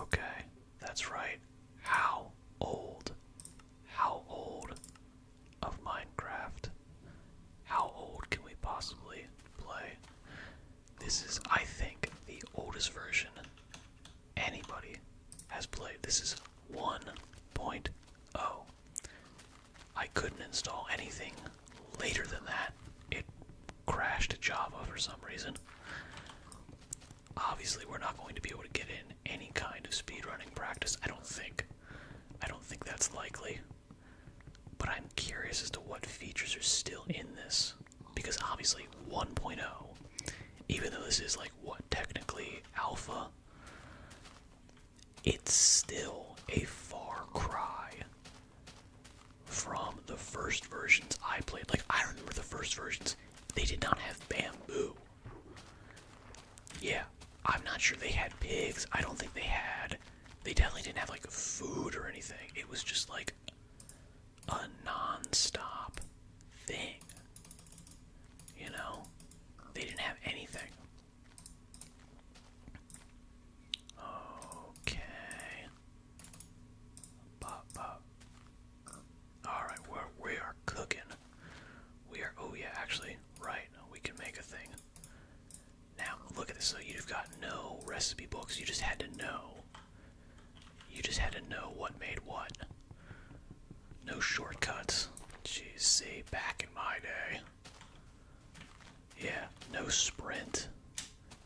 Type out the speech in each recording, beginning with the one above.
Okay, that's right. How old? How old of Minecraft? How old can we possibly play? This is, I think, the oldest version anybody has played. This is 1.0. I couldn't install anything later than that. It crashed Java for some reason. Obviously, we're not going to be able to get in any kind of speedrunning practice, I don't think. I don't think that's likely. But I'm curious as to what features are still in this. Because obviously, 1.0, even though this is like what technically alpha, it's still a far cry from the first versions I played. Like, I remember the first versions, they did not have bamboo. Yeah, I'm not sure they had pigs. I don't think they had. They definitely didn't have, like, food or anything. It was just, like, a non stop thing. You know? They didn't have anything. Okay. Bop, bop. Alright, we're we are cooking. We are oh yeah, actually, right, we can make a thing. Now look at this, so you've got no recipe books, you just had to know. You just had to know what made what. No shortcuts. Jeez, see, back in my day. Yeah, no sprint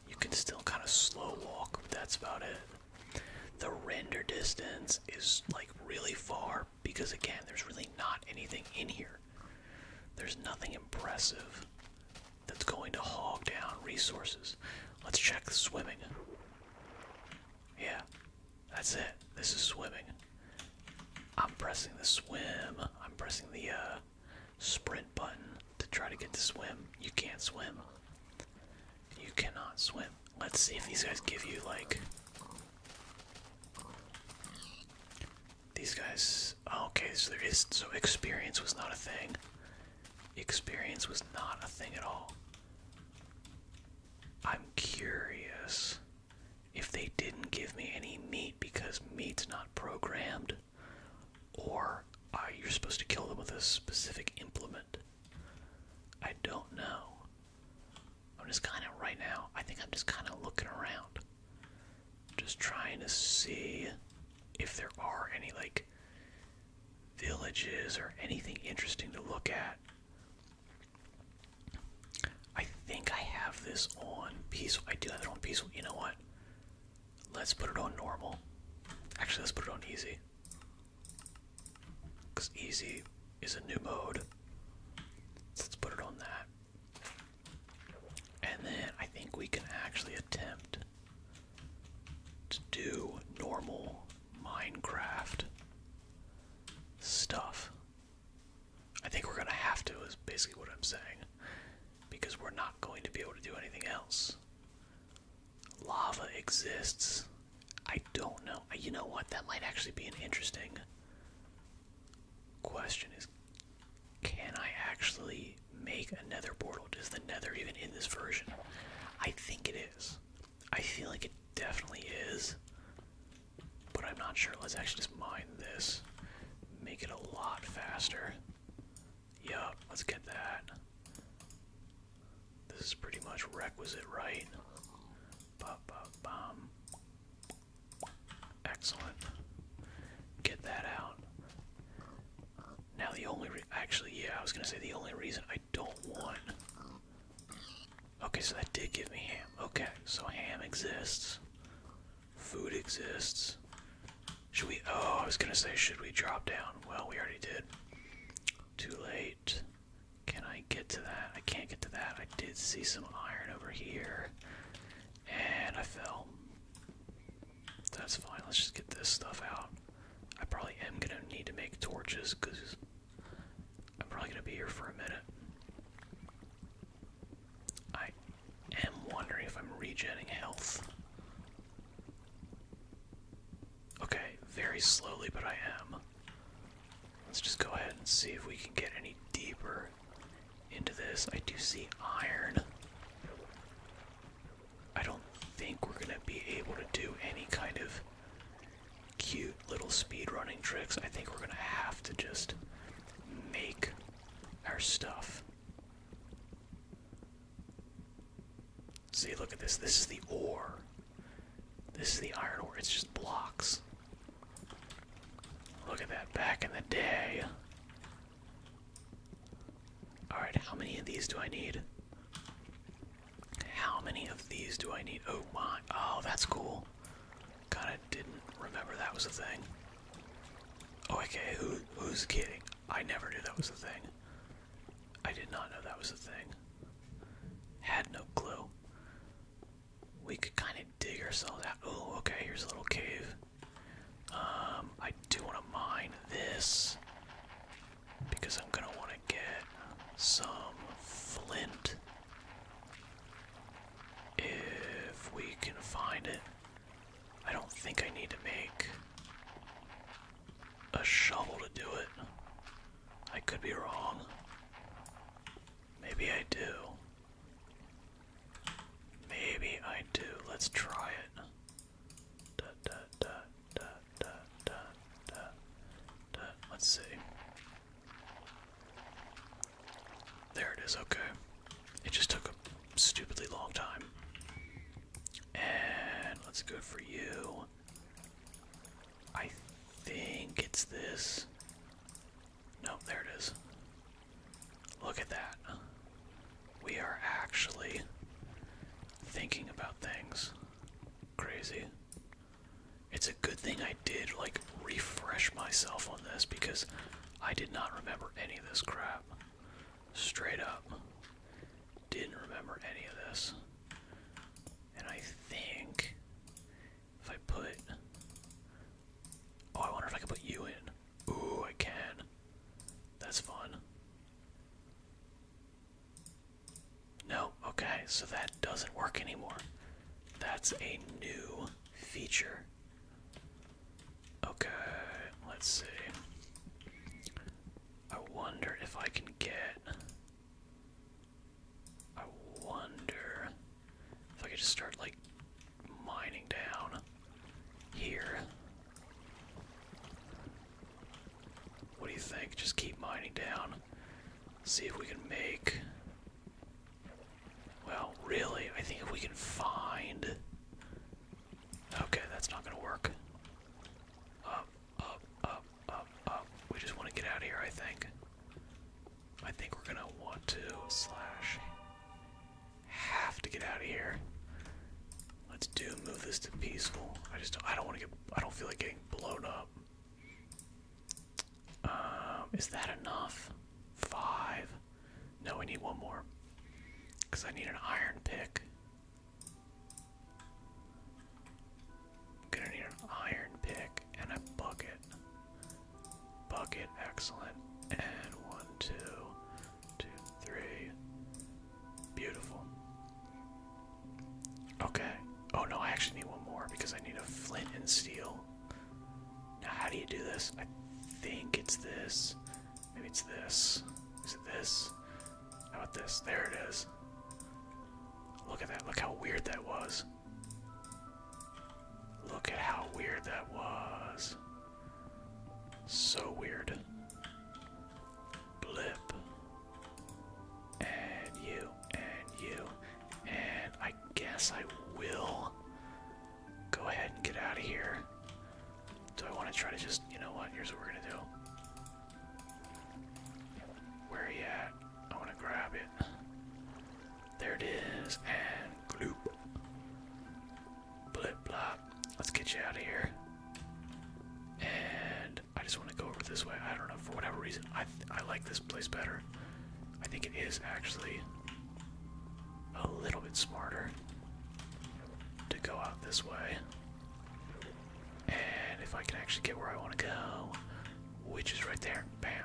you can still kind of slow walk, but that's about it. The render distance is like really far because, again, there's really not anything in here. There's nothing impressive that's going to hog down resources. Let's check the swimming. Yeah, that's it. This is swimming. I'm pressing the swim. I'm pressing the uh, sprint button to try to get to swim. You can't swim. You cannot swim. Let's see if these guys give you like. These guys. Oh, okay, so there is. So experience was not a thing. Experience was not a thing at all. I'm curious if they didn't give me any meat because meat's not programmed, or uh, you're supposed to kill them with a specific implement. I don't know. I'm just kind of, right now, I think I'm just kind of looking around. Just trying to see if there are any, like, villages or anything interesting to look at. I think I have this on peaceful. I do have it on peaceful. You know what? Let's put it on normal. Actually, let's put it on easy. Because easy is a new mode. let's put it on that. And then I think we can actually attempt to do normal Minecraft stuff. I think we're going to have to, is basically what I'm saying. Because we're not going to be able to do anything else lava exists. I don't know. You know what? That might actually be an interesting question is can I actually make another portal? Is the nether even in this version? I think it is. I feel like it definitely is. But I'm not sure. Let's actually just mine this. Make it a lot faster. Yup, let's get that. This is pretty much requisite, right? Excellent. Get that out. Now the only actually, yeah, I was gonna say the only reason I don't want. Okay, so that did give me ham. Okay, so ham exists. Food exists. Should we? Oh, I was gonna say, should we drop down? Well, we already did. Too late. Can I get to that? I can't get to that. I did see some iron over here. And I fell. That's fine. Let's just get this stuff out. I probably am going to need to make torches because I'm probably going to be here for a minute. I am wondering if I'm regenning health. Okay, very slowly, but I am. Let's just go ahead and see if we can get any deeper into this. I do see iron. I don't think we're going to be able to do any kind of cute little speed running tricks. I think we're going to have to just make our stuff. See, look at this. This is the ore. This is the iron ore. It's just blocks. Look at that. Back in the day. Alright, how many of these do I need? How many of these do I need? Oh my. Oh, that's cool. God, I didn't remember that was a thing. Oh, okay, who, who's kidding? I never knew that was a thing. I did not know that was a thing had no clue. We could kind of dig ourselves out. Oh, okay, here's a little cave. Um, I do want to mine this because I'm gonna want to get some flint if we can find it. I don't think I need to make a shovel to do it. I could be wrong. Maybe I do. Maybe I do. Let's try it. Let's see. There it is, okay. It just took a stupidly long time. And let's go for you. I think it's this. Nope, there it is. Look at that. We are actually thinking about things. Crazy. It's a good thing I did, like, refresh myself on this because I did not remember any of this crap. Straight up didn't remember any of this. And I think if I put. Oh, I wonder if I can put you in. Ooh, I can. That's fun. No, okay, so that doesn't work anymore. That's a new feature. Okay, let's see. I wonder if I can get. I wonder if I could just start like mining down here. What do you think? Just keep mining down. See if we can make. Well, really, I think we can find. Okay, that's not gonna work. Uh, up, up, up, up. We just want to get out of here, I think. I think we're gonna want to slash have to get out of here. Let's do move this to peaceful. I just don't, I don't want to get I don't feel like getting blown up. Um, is that enough? Five. No, we need one more. Cause I need an iron pick. I'm gonna need an iron pick and a bucket. Bucket, excellent. And one, two, two, three. Beautiful. Okay. Oh no, I actually need one more because I need a flint and steel. Now, how do you do this? I think it's this. Maybe it's this. Is it this? How about this? There it is. Look at that. Look how weird that was. Look at how weird that was. So weird. Blip. And you, and you, and I guess I will go ahead and get out of here. Do I want to try to just, you know what? Here's what we're gonna do. Where he at? I want to grab it. There it is, and gloop. Blip blop. Let's get you out of here. And I just want to go over this way. I don't know for whatever reason. I I like this place better. I think it is actually a little bit smarter to go out this way. And if I can actually get where I want to go, which is right there, bam.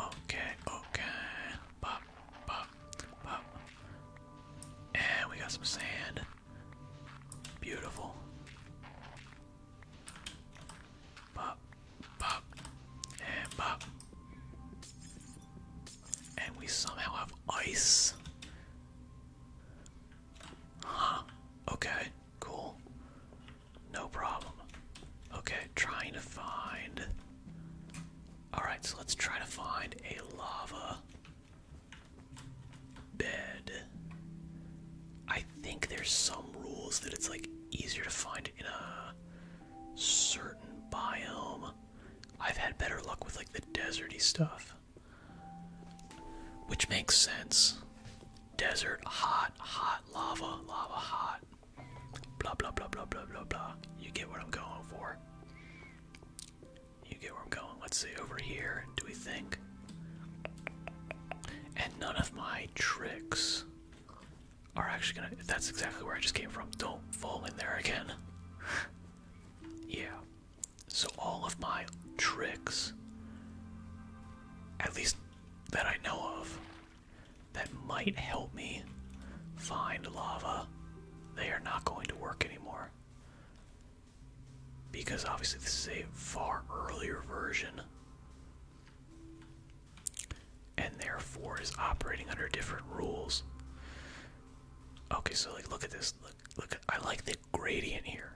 Okay, okay. Pop, pop, pop. And we got some sand. Beautiful. Pop, pop, and pop. And we somehow have ice. Huh. Okay, cool. No problem. Okay, trying to find. Alright, so let's try to find a lava bed. I think there's some rules that it's like easier to find in a certain biome. I've had better luck with like the deserty stuff. Which makes sense. Desert, hot, hot, lava, lava, hot. Blah, blah, blah, blah, blah, blah, blah. You get what I'm going for. You get where I'm going. Let's see, over here, do we think? And none of my tricks are actually gonna. That's exactly where I just came from. Don't fall in there again. yeah. So, all of my tricks, at least that I know of, that might help me find lava, they are not going to work anymore. Because obviously, this is a far earlier version and therefore is operating under different rules. Okay, so like look at this. Look look I like the gradient here.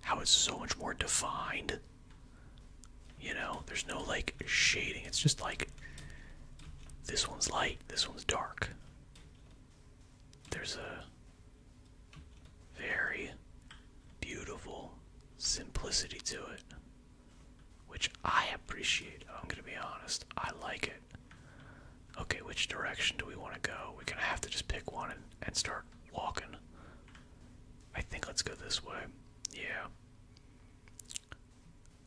How it's so much more defined. You know, there's no like shading. It's just like this one's light, this one's dark. There's a very beautiful simplicity to it, which I appreciate. I'm gonna be honest, I like it. Okay, which direction do we want to go? We're gonna have to just pick one and, and start walking. I think let's go this way. Yeah.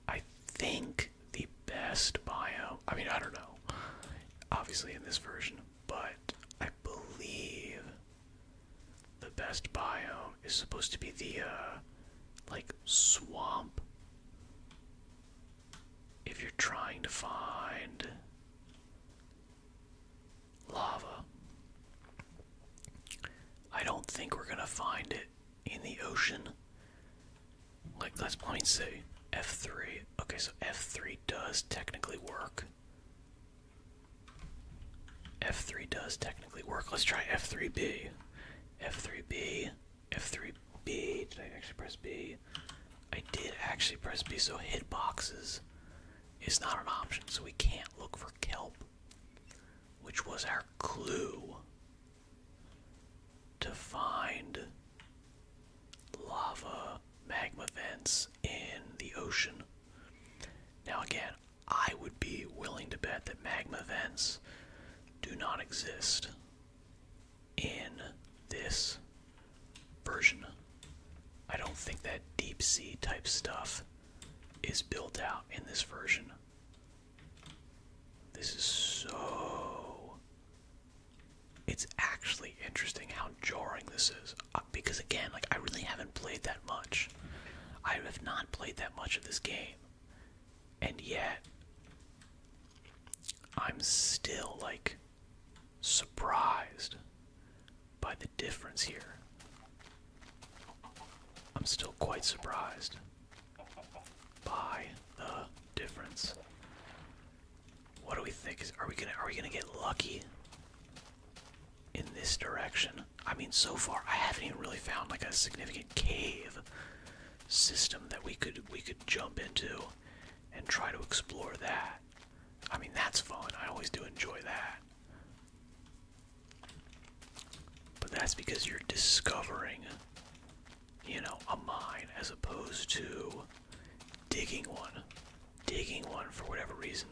I think the best bio. I mean, I don't know, obviously in this version, but I believe the best biome is supposed to be the uh, like swamp if you're trying to find lava I don't think we're gonna find it in the ocean like let's let me F3 okay so F3 does technically work F3 does technically work. Let's try F3B. F3B. F3B. Did I actually press B? I did actually press B, so hitboxes is not an option, so we can't look for kelp, which was our clue to find lava magma vents in the ocean. Now, again, I would be willing to bet that magma vents do not exist in this version. I don't think that deep sea type stuff is built out in this version. This is so. It's actually interesting how jarring this is. Uh, because again, like I really haven't played that much. I have not played that much of this game. And yet I'm still like surprised by the difference here. I'm still quite surprised by the difference. What do we think? Is, are we gonna are we gonna get lucky in this direction? I mean, so far I haven't even really found like a significant cave system that we could we could jump into and try to explore that. I mean, that's fun. I always do enjoy that. But that's because you're discovering, you know, a mine as opposed to digging one. Digging one for whatever reason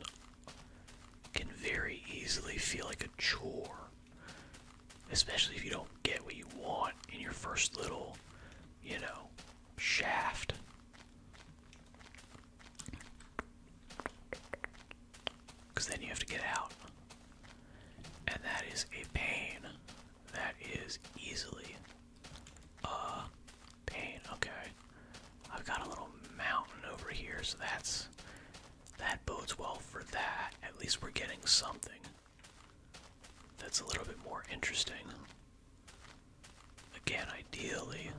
can very easily feel like a chore, especially if you don't get what you want in your first little, you know, shaft. Because then you have to get out. And that is a pain. That is easily a pain. Okay. I've got a little mountain over here, so that's that bodes well for that. At least we're getting something that's a little bit more interesting. Again, ideally,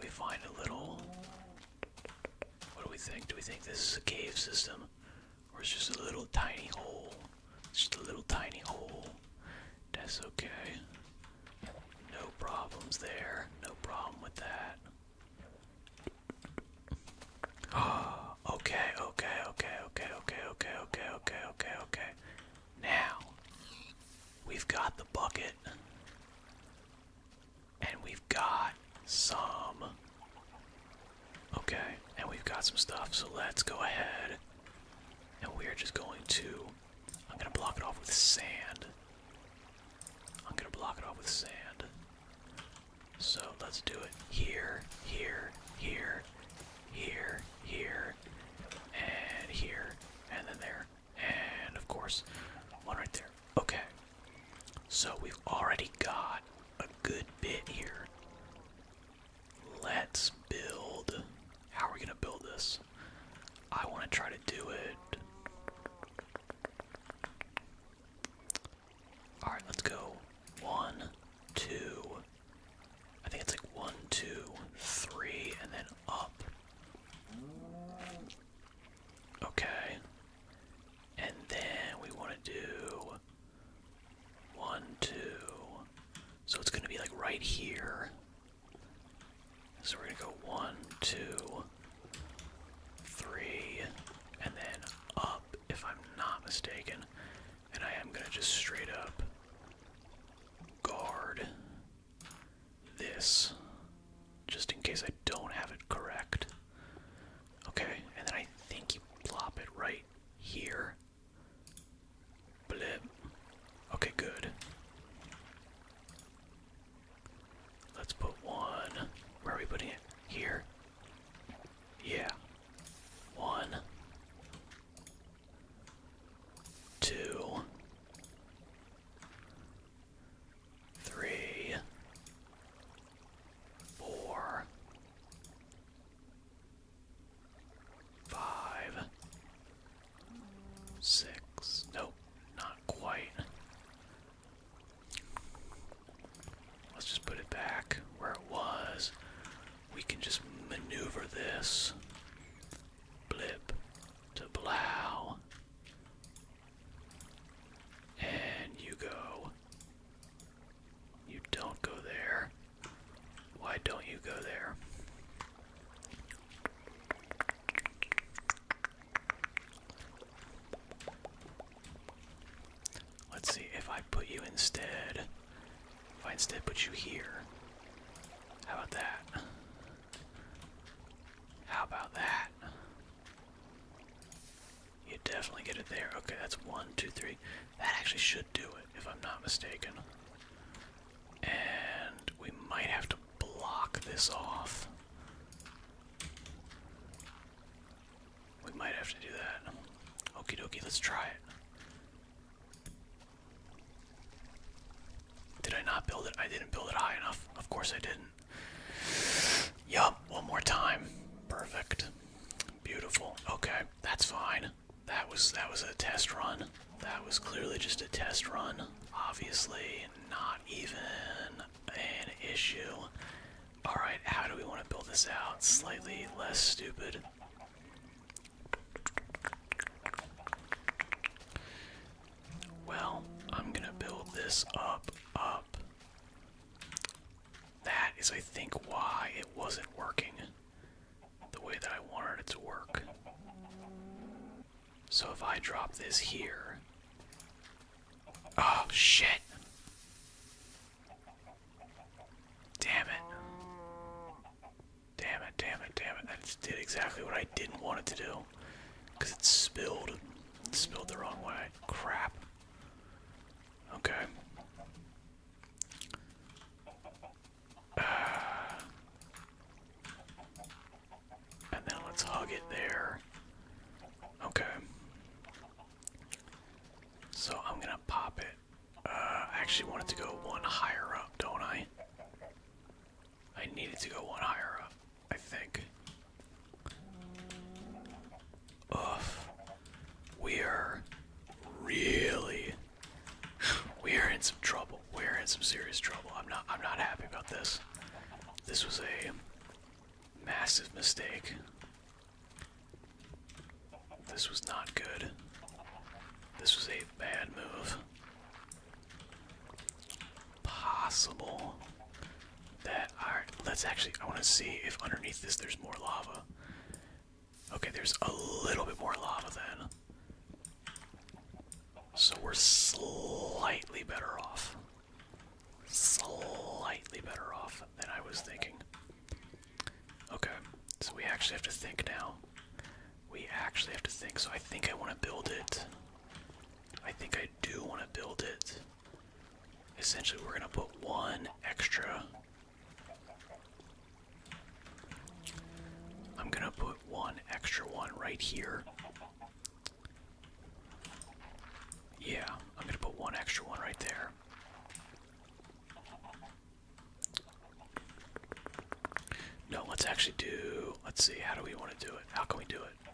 we find a little. What do we think? Do we think this is a cave system? Or it's just a little tiny hole? It's just a little tiny hole. That's okay. No problems there. No problem with that. okay, okay, okay, okay, okay, okay, okay, okay, okay, okay. Now, we've got the bucket, and we've got some. Okay, and we've got some stuff, so let's go ahead. And we're just going to. I'm gonna block it off with sand. I'm gonna block it off with sand. So let's do it here, here, here, here, here, and here, and then there, and of course, one right there. Okay. So we've already got a good bit here. Let's build. How are we gonna build this? I want to try to do it all right, let's go. One, two. I think it's like one, two, three, and then up. Okay. And then we want to do one, two. So it's going to be like right here. So we're gonna go one, two, three, and then up, if I'm not mistaken. And I am gonna just straight up guard this, just in case I don't have it correct. Okay, and then I think you plop it right here. Blip. Okay, good. Let's put one. Where are we putting it? Here. Yeah. One. Two. Three. Four. Five. Six. Nope, not quite. Let's just put it back where it was. We can just maneuver this. Blip to blow. And you go. You don't go there. Why don't you go there? Let's see if I put you instead. If I instead put you here. How about that? How about that? You definitely get it there. Okay, that's one, two, three. That actually should do it, if I'm not mistaken. And we might have to block this off. We might have to do that. Okie dokie, let's try it. Did I not build it? I didn't build it high enough. Of course I didn't. Yup, one more time. Perfect. Beautiful. Okay, that's fine. That was that was a test run. That was clearly just a test run. Obviously, not even an issue. Alright, how do we want to build this out? Slightly less stupid. Well, I'm gonna build this up, up. That is, I think, why it wasn't working the way that I wanted it to work. So if I drop this here, Oh, shit. Damn it. Damn it, damn it, damn it. That did exactly what I didn't want it to do. Because it spilled. spilled the wrong way. Crap. Okay. And then let's hug it there. Okay. So I'm gonna pop it. Uh, I actually want it to go one higher up, don't I? I needed to go one higher up, I think. Ugh. We are really we are in some trouble. We're in some serious trouble. I'm not I'm not happy about this. This was a Massive mistake. This was not good. This was a bad move. Possible that our let's actually I want to see if underneath this there's more lava. Okay, there's a little bit more lava then. So we're slightly better off slightly better off than I was thinking. Okay, so we actually have to think now. We actually have to think, so I think I want to build it. I think I do want to build it. Essentially, we're going to put one extra. I'm going to put one extra one right here. Yeah, I'm gonna put one extra one right there. No, let's actually do. Let's see, how do we want to do it? How can we do it?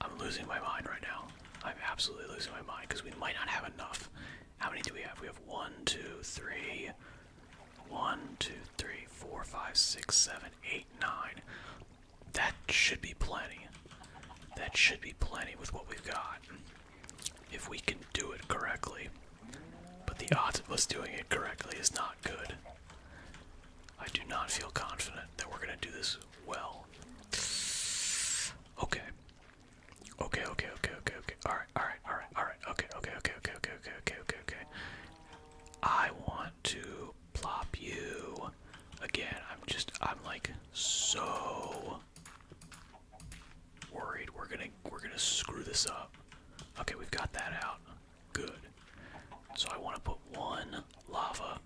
I'm losing my mind right now. I'm absolutely losing my mind because we might not have enough. How many do we have? We have one, two, three, one, two, three, four, five, six, seven, eight, nine. That should be plenty. That should be plenty with what we've got. If we can do it correctly. But the odds of us doing it correctly is not good. I do not feel confident that we're going to do this well. Okay. Okay, okay, okay, okay, okay. Alright, alright, alright, alright. Okay, okay, okay, okay, okay, okay, okay, okay, I want to plop you again. I'm just I'm like so worried we're gonna we're gonna screw this up. Okay, we've got that out. Good. So I want to put one lava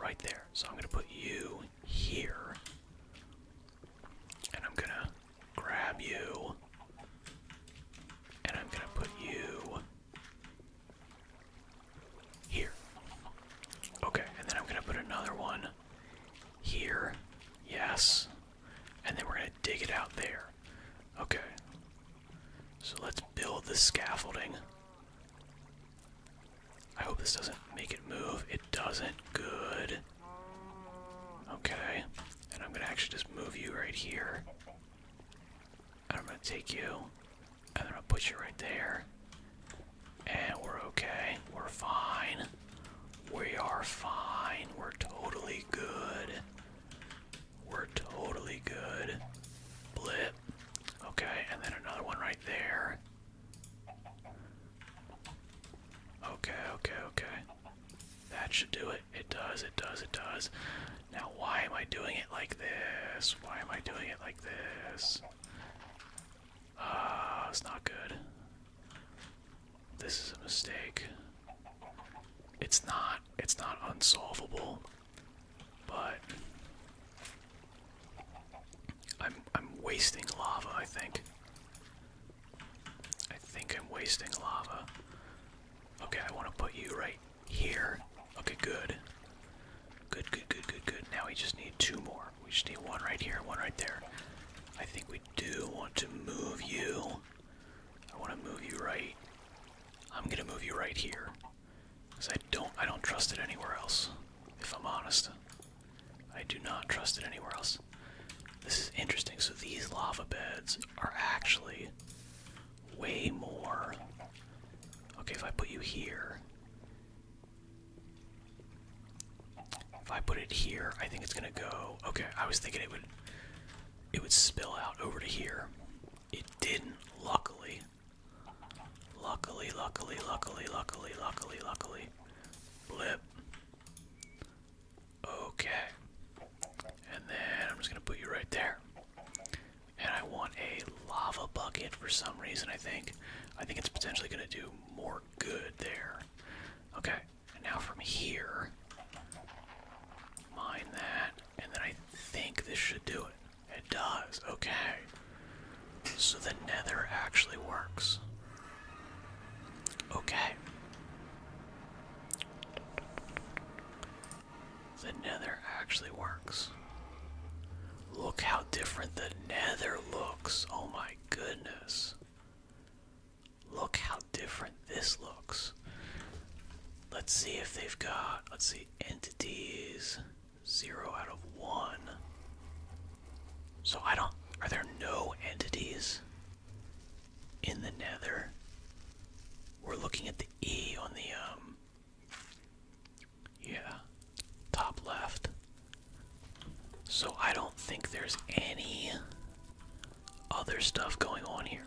right there. So I'm gonna put you here. And I'm gonna grab you. And I'm gonna put you here. Okay, and then I'm gonna put another one here. Yes. And then we're gonna dig it out there. Okay. So let's build the scaffolding. I hope this doesn't make it move. It doesn't. Good. Okay. And I'm gonna actually just move you right here. And I'm gonna take you. And then I'll put you right there. And we're okay. We're fine. We are fine. We're totally good. We're totally good. Blip. Okay, and then another one right there. Okay, okay, okay. That should do it. It does, it does, it does. Now, why am I doing it like this? Why am I doing it like this? Uh, it's not good. This is a mistake. It's not it's not unsolvable, but I'm I'm wasting lava, I think. I think I'm wasting lava. Okay, I want to put you right here. Okay, good. Good, good, good, good, good. Now we just need two more. We just need one right here, one right there. I think we do want to move you. I want to move you right. I'm gonna move you right here, cause I don't, I don't trust it anywhere else. If I'm honest, I do not trust it anywhere else. This is interesting. So these lava beds are actually way more. Okay, if I put you here, if I put it here, I think it's gonna go. Okay, I was thinking it would it would spill out over to here. It didn't, luckily. Luckily, luckily, luckily, luckily, luckily, luckily. Blip. Okay. And then I'm just gonna put you right there. And I want a lava bucket for some reason, I think. I think it's potentially going to do more good there. Okay, and now from here, mine that, and then I think this should do it. It does, okay. So the nether actually works. Okay. The nether actually works. Look how different the nether looks. Oh my goodness. Look how different this looks. Let's see if they've got, let's see, entities. Zero out of one. So I don't, are there no entities in the nether? We're looking at the E on the, um, yeah, top left. So I don't think there's any other stuff going on here.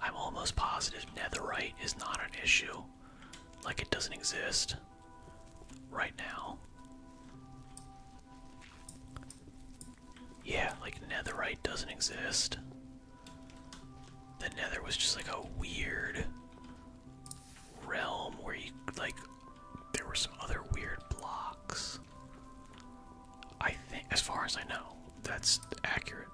I'm almost positive netherite is not an issue. Like it doesn't exist right now. Yeah, like netherite doesn't exist. The nether was just like a weird realm where you like there were some other weird blocks. I think as far as I know, that's accurate.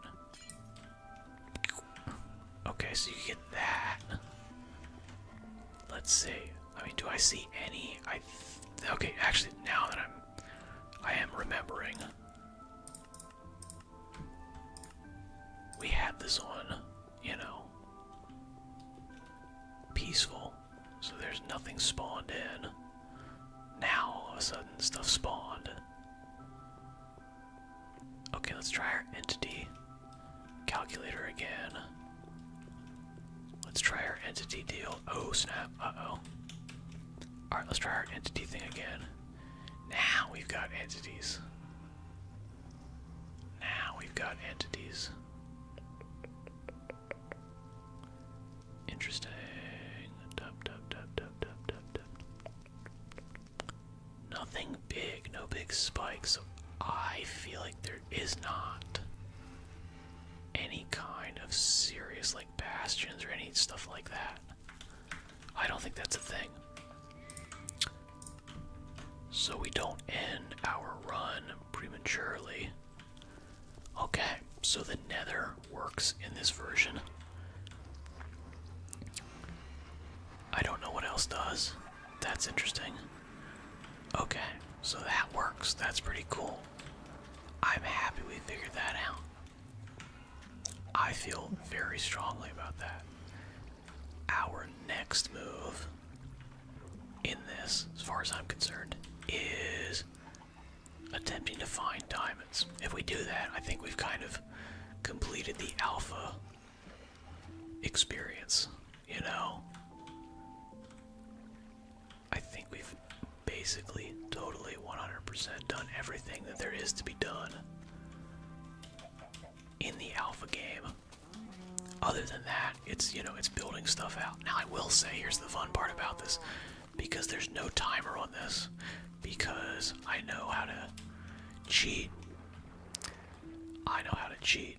Okay, so you get that. Let's see. I mean, do I see any? I okay. Actually, now that I'm, I am remembering. We had this one you know, peaceful. So there's nothing spawned in. Now all of a sudden stuff spawned. Okay, let's try our entity calculator again. Let's try our entity deal. Oh snap, uh-oh. Alright, let's try our entity thing again. Now we've got entities. Now we've got entities. Interesting. Nothing big, no big spikes. I feel like there is not any kind of serious, like, bastions or any stuff like that. I don't think that's a thing so we don't end our run prematurely. Okay, so the nether works in this version. I don't know what else does. That's interesting. Okay, so that works. That's pretty cool. I'm happy we figured that out. I feel very strongly about that. Our next move in this, as far as I'm concerned, is attempting to find diamonds. If we do that, I think we've kind of completed the alpha experience, you know? I think we've basically totally 100% done everything that there is to be done in the alpha game. Other than that, it's you know it's building stuff out. Now I will say here's the fun part about this, because there's no timer on this, because I know how to cheat. I know how to cheat.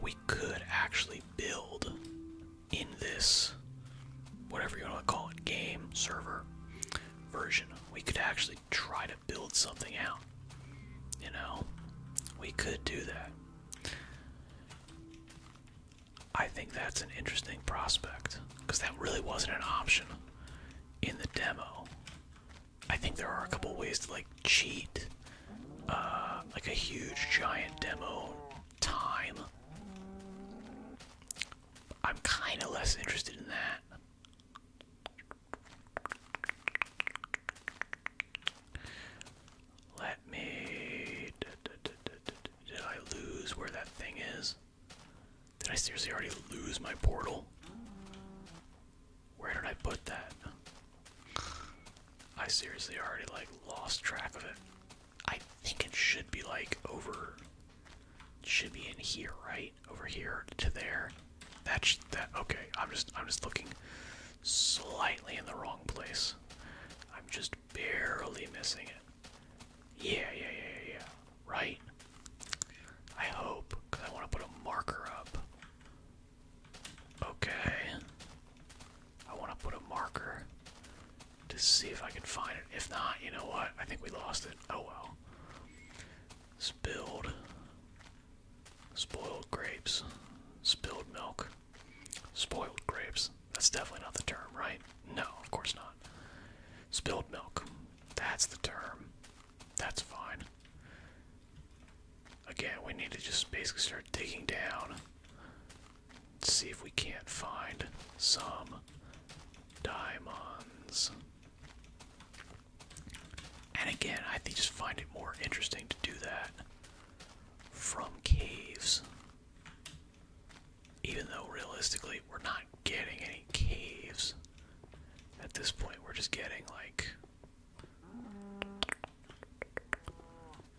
We could actually build in this whatever you want to call it game server version. We could actually try to build something out. You know, we could do that. I think that's an interesting prospect because that really wasn't an option in the demo. I think there are a couple ways to like cheat, uh, like a huge giant demo time. I'm kind of less interested in that. Let me. Did I lose where that thing is? Did I seriously already lose my portal? Where did I put that? I seriously already like lost track of it. I think it should be like over. should be in here, right? over here to there. That's that. Okay, I'm just I'm just looking slightly in the wrong place. I'm just barely missing it. Yeah, yeah, yeah, yeah, yeah. Right. I hope, cause I want to put a marker up. Okay. I want to put a marker to see if I can find it. If not, you know what? I think we lost it. Oh well. let Spoiled grapes. Spilled milk. Spoiled grapes. That's definitely not the term, right? No, of course not. Spilled milk. That's the term. That's fine. Again, we need to just basically start digging down. See if we can't find some diamonds. And again, I just find it more interesting to do that from caves. Even though realistically, we're not getting any caves at this point. We're just getting like.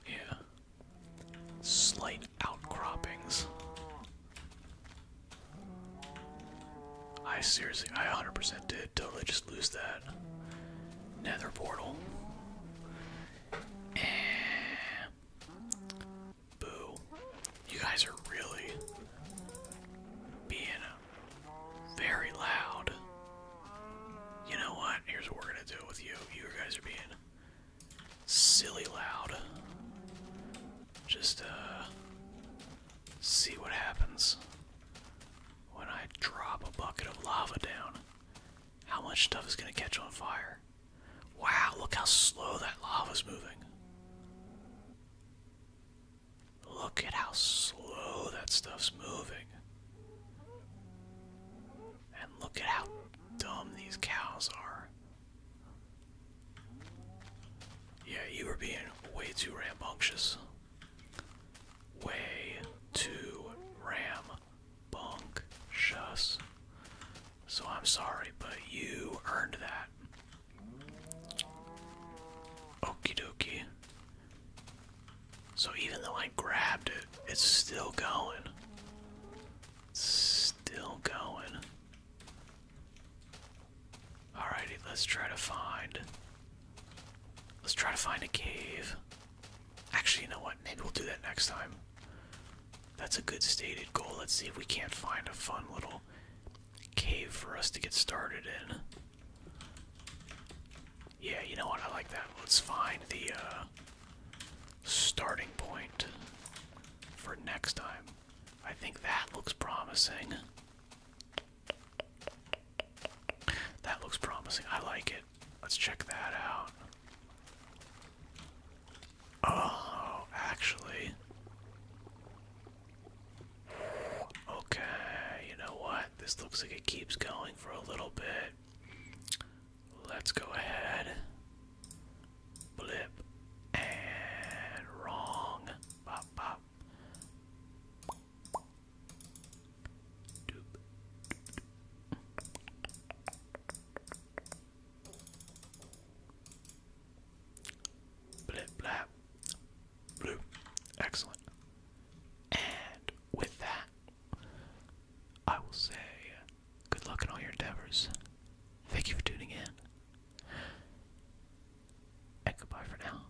Yeah. Slight outcroppings. I seriously, I 100% did good. Totally just lose that. Nether portal. Boo. You guys are really being very loud. You know what? Here's what we're gonna do with you. You guys are being silly loud. Just, uh, see what happens when I drop a bucket of lava down, how much stuff is going to catch on fire. Wow, look how slow that lava's moving. Look at how slow that stuff's moving. And look at how dumb these cows are. Yeah, you were being way too rambunctious. Way to ram bunk shuss. So I'm sorry, but you earned that. Okie dokie. So even though I grabbed it, it's still going. still going. Alrighty, let's try to find. Let's try to find a cave. Actually, you know what? Maybe we'll do that next time. That's a good stated goal. Let's see if we can't find a fun little cave for us to get started in. Yeah, you know what? I like that. Let's find the uh, starting point for next time. I think that looks promising. That looks promising. I like it. Let's check that out. Oh, actually. Okay, you know what? This looks like it keeps going for a little bit. Let's go ahead. Blip. And wrong. Pop, pop. Blip blap. Blue. Excellent. And with that, I will say good luck in all your endeavors. Thank you for tuning in. And goodbye for now.